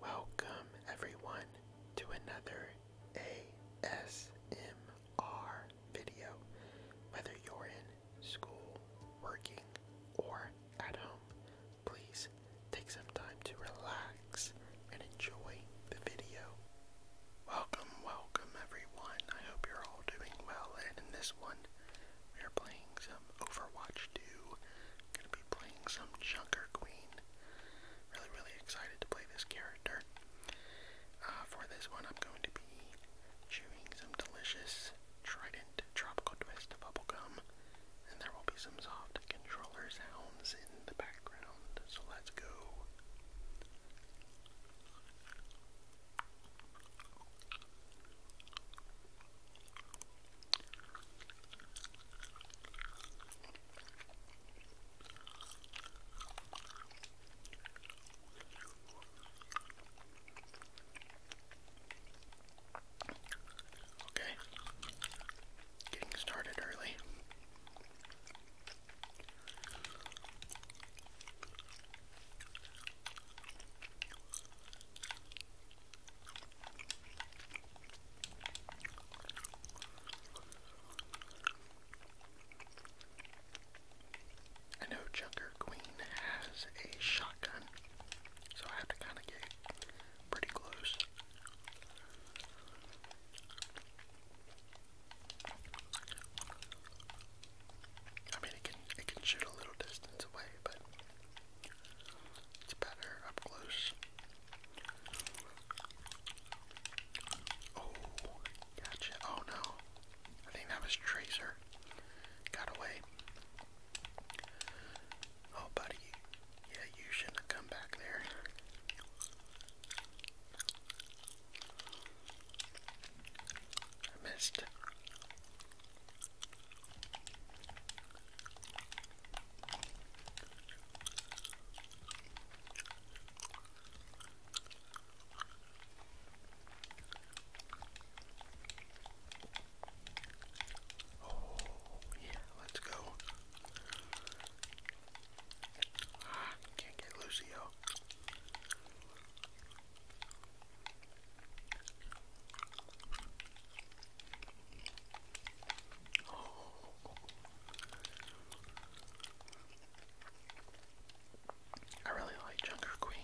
Welcome, everyone, to another ASMR video. Whether you're in school, working, or at home, please take some time to relax and enjoy the video. Welcome, welcome, everyone. I hope you're all doing well, and in this one, we are playing some Overwatch 2 Gonna be playing some Junker Queen. Really, really excited to play this character. Uh, for this one, I'm going to be chewing some delicious Trident Tropical Twist bubble gum, and there will be some soft controller sounds in the background. So let's go. Okay, getting started early. I know Junker Queen has a shotgun, so I have to kind of get pretty close. I mean, it can it can shoot a little distance away, but it's better up close. Oh, gotcha. Oh no. I think that was Tracer. Got away. Oh, buddy. Yeah, you shouldn't have come back there. I missed. Oh, yeah, let's go. Ah, can't get Lucio. I really like Junker Queen.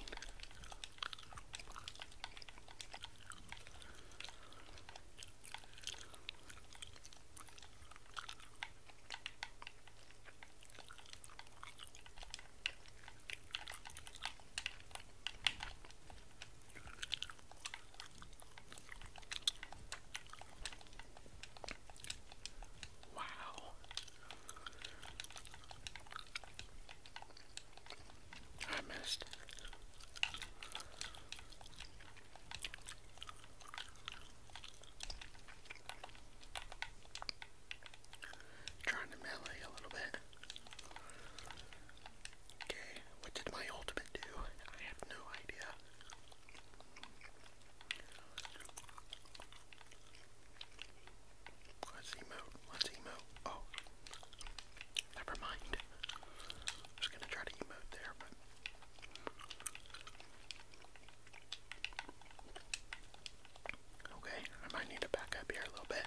Wow. I missed. Trying to melee a little bit. Okay, what did my ultimate do? I have no idea. Let's emote, let's emote. Oh, never mind. I gonna try to emote there, Okay, I might need to back up here a little bit.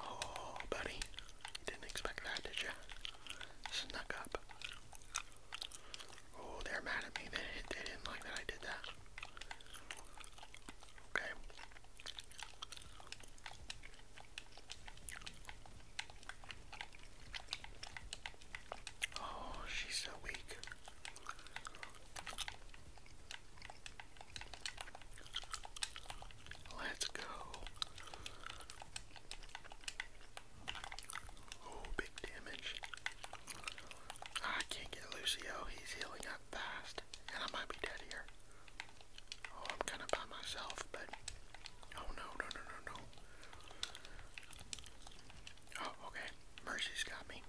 Oh, buddy, you didn't expect that, did you? Snuck up. Oh, they're mad at me. they didn't like that I did that. Okay. Oh, she's so weak. Let's go. Oh, big damage. I can't get Lucio. He's healing up fast. And I might be dead here. Oh, I'm kind of by myself, but. Oh, no, no, no, no, no. Oh, okay. Mercy's got me.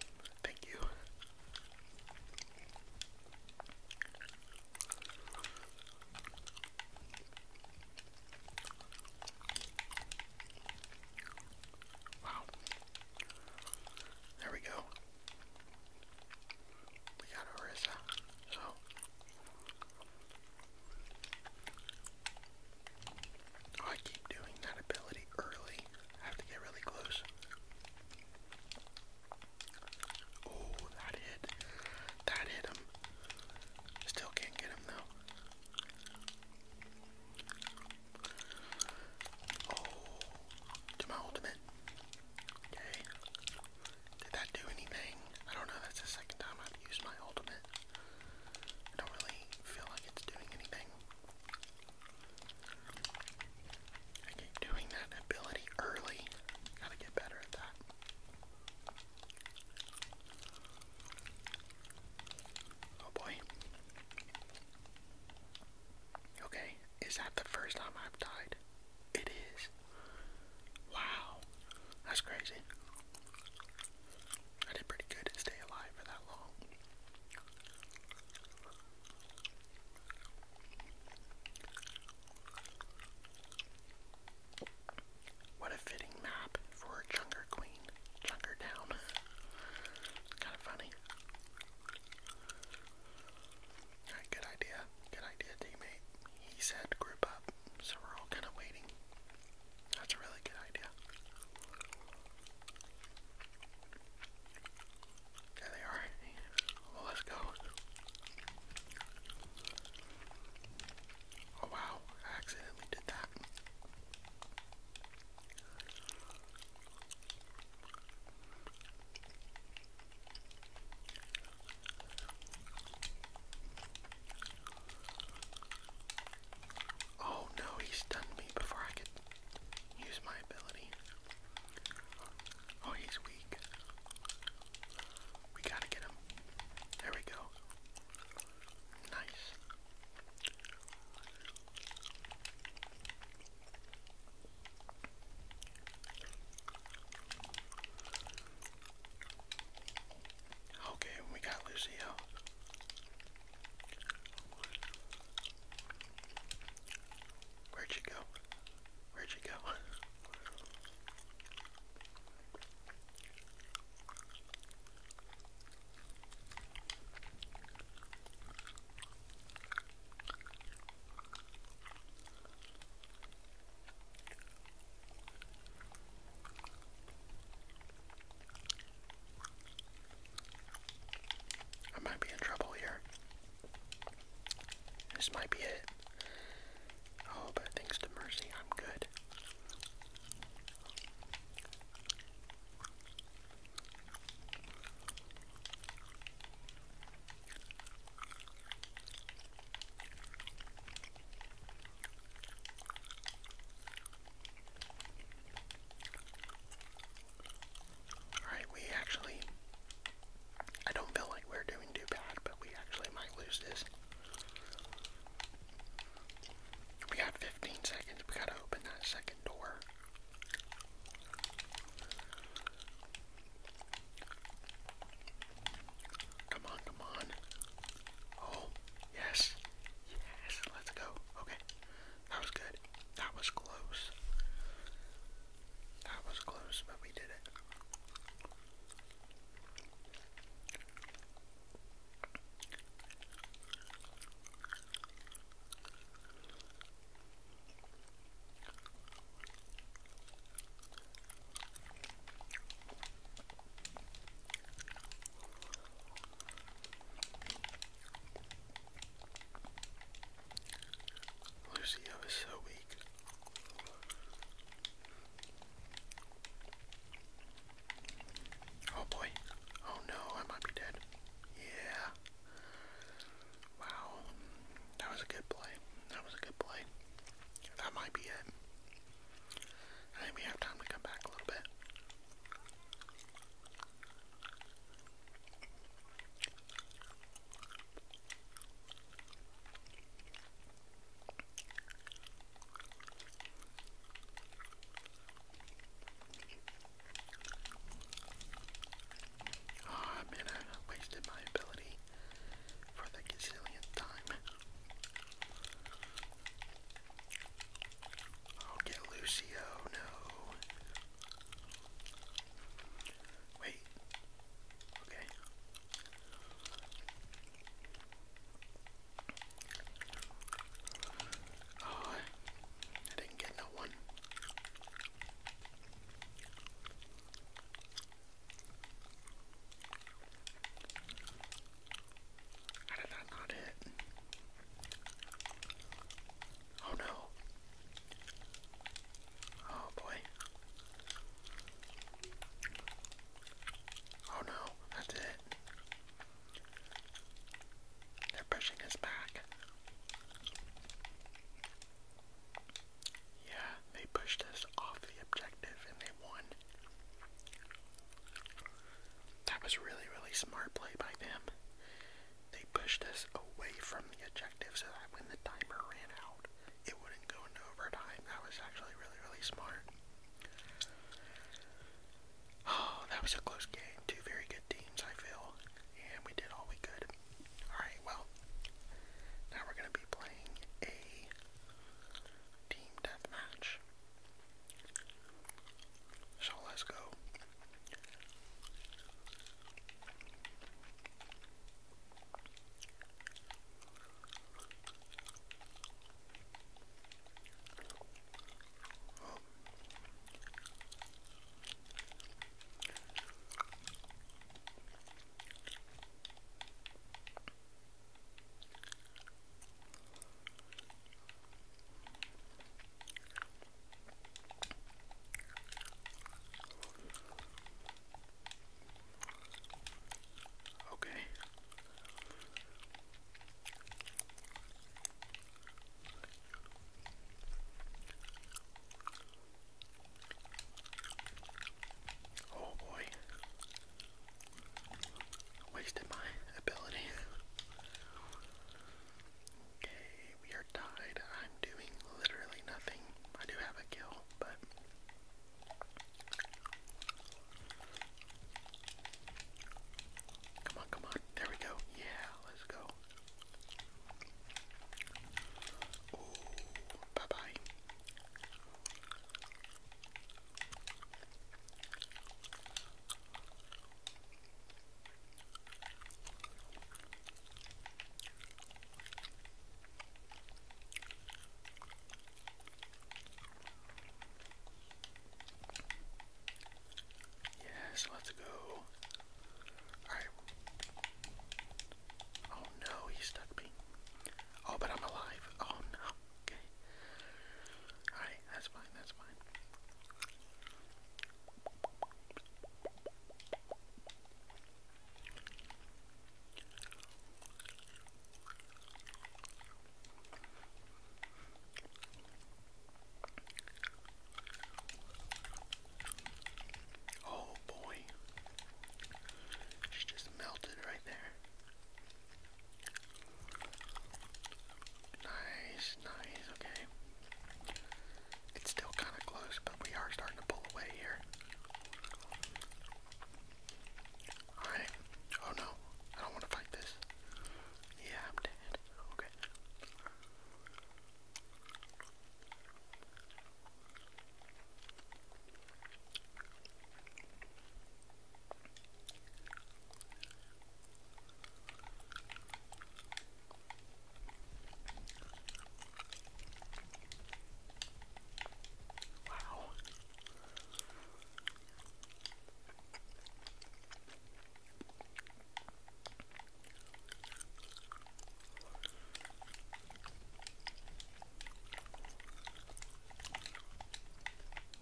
Thank you. Wow. There we go. We got Orissa. So oh, I keep doing that ability early. I have to get really close. Oh, that hit. That hit him. Still can't get him though. Oh, to my ultimate. Okay. Did that do anything? I don't know. That's the second time I've used my ultimate. I don't really feel like it's doing anything I keep doing that ability early. Gotta get better at that. Oh boy. Okay, is that the first time I've died? It is. Wow, that's crazy. I did pretty good to stay alive for that long. What a fitting map for a Junker Queen. Junker Down. kind of funny. Alright, good idea. Good idea, teammate. He said group up, so we're all kind of waiting. That's a really good idea. There they are. Well, let's go. Oh wow, I accidentally did that. Oh no, he stunned me before I could use my ability. Oh, he's weak. We gotta get him. There we go. Nice. Okay, we got Lucio. Where'd you go? Where'd you go? I might be in trouble here. This might be it. Oh, but thanks to Mercy, I'm good. Alright, we actually. I don't feel like we're doing too bad, but we actually might lose this. We got 15 seconds. We gotta open that second door. Come on, come on. Oh, yes. Yes, let's go. Okay. That was good. That was close. That was close, but we did it. Lucio was so weak. Oh boy. Oh no, I might be dead. Yeah. Wow. That was a good play. That was a good play. That might be it. I think have time to come back a little bit. Ah, oh, man, I wasted my ability for the gazillionth time. I'll oh, get Lucio, no. Wait. Okay. Oh, I didn't get no one. How did that not hit? Oh no. Oh boy. Oh no, that's it. They're pushing us back. Yeah, they pushed us off the objective and they won. That was really, really smart play by them. They pushed us away from the objective so that when the timer ran out, it wouldn't go into overtime. That was actually really, really smart. Oh, that was a close game. Two very good teams, I feel. And we did all we could. Alright, well, now we're going to be playing a team deathmatch. So let's go. Okay. Oh boy. Wasted my ability. Okay, we are tied. I'm doing literally nothing. I do have a kill, but. Come on, come on. There we go. Yeah, let's go. bye bye. Yes, let's go. Alright. Oh no, he stuck me. Oh, but I'm alive. Oh no. Okay. Alright, that's fine, that's fine. Oh boy, she just melted right there. Nice, nice, okay. It's still kind of close, but we are starting to pull away here. Alright. Oh no, I don't want to fight this. Yeah, I'm dead. Okay. Wow.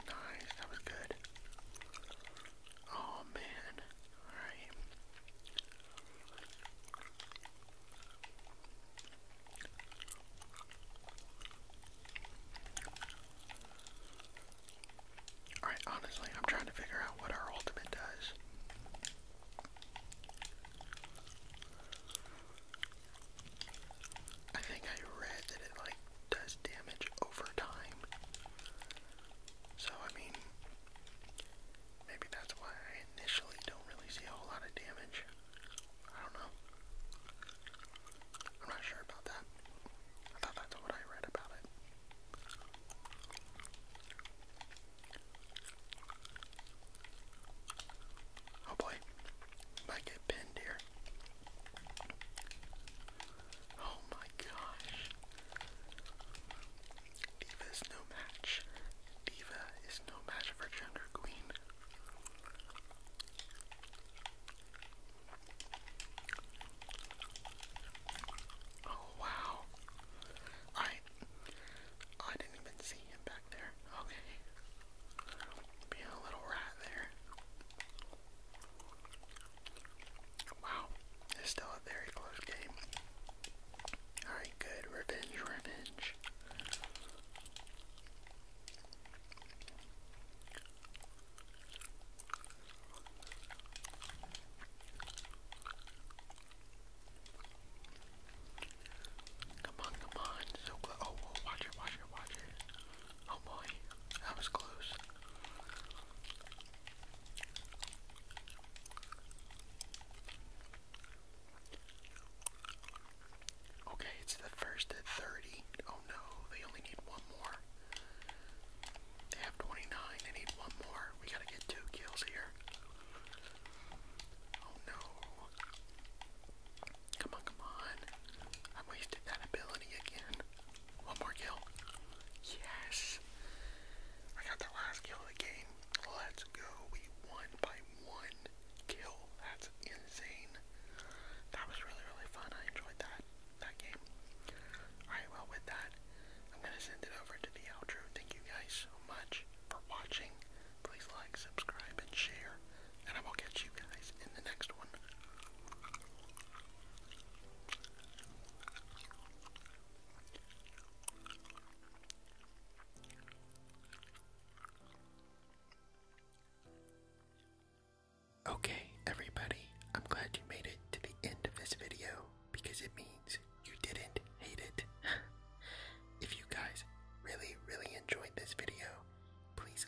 Nice, that was good. Oh man. Alright. Alright, honestly, I'm trying to figure out what our ultimate does. I think I read that it like does damage over time. So, I mean, maybe that's why I initially don't really see a whole lot of damage. I don't know. I'm not sure about that. I thought that's what I read about it. Oh boy, might get pinned here. Oh my gosh. Diva is no match. Diva is no match for Gender Queen. Oh wow. I I didn't even see him back there. Okay. Being a little rat there. Wow, it's still a very close game. Alright, good. Revenge, revenge. Come on, come on. So, oh, watch it, watch it, watch it. Oh boy, that was close. Okay, it's the first at 30. Oh no, they only need one more. They have 29, they need one more. We gotta get two kills here. Oh no. Come on, come on. I wasted that ability again. One more kill. Yes. I got the last kill of the game. Let's go. We won by one kill. That's insane. That was really, really fun. I enjoyed that that game. Alright, well with that, I'm gonna send it over to the outro. Thank you guys so much for watching. Please like, subscribe, and share and I will catch you guys in the next one. Okay, everybody, I'm glad you made it to the end of this video because it means you didn't hate it. if you guys really, really enjoyed this video, please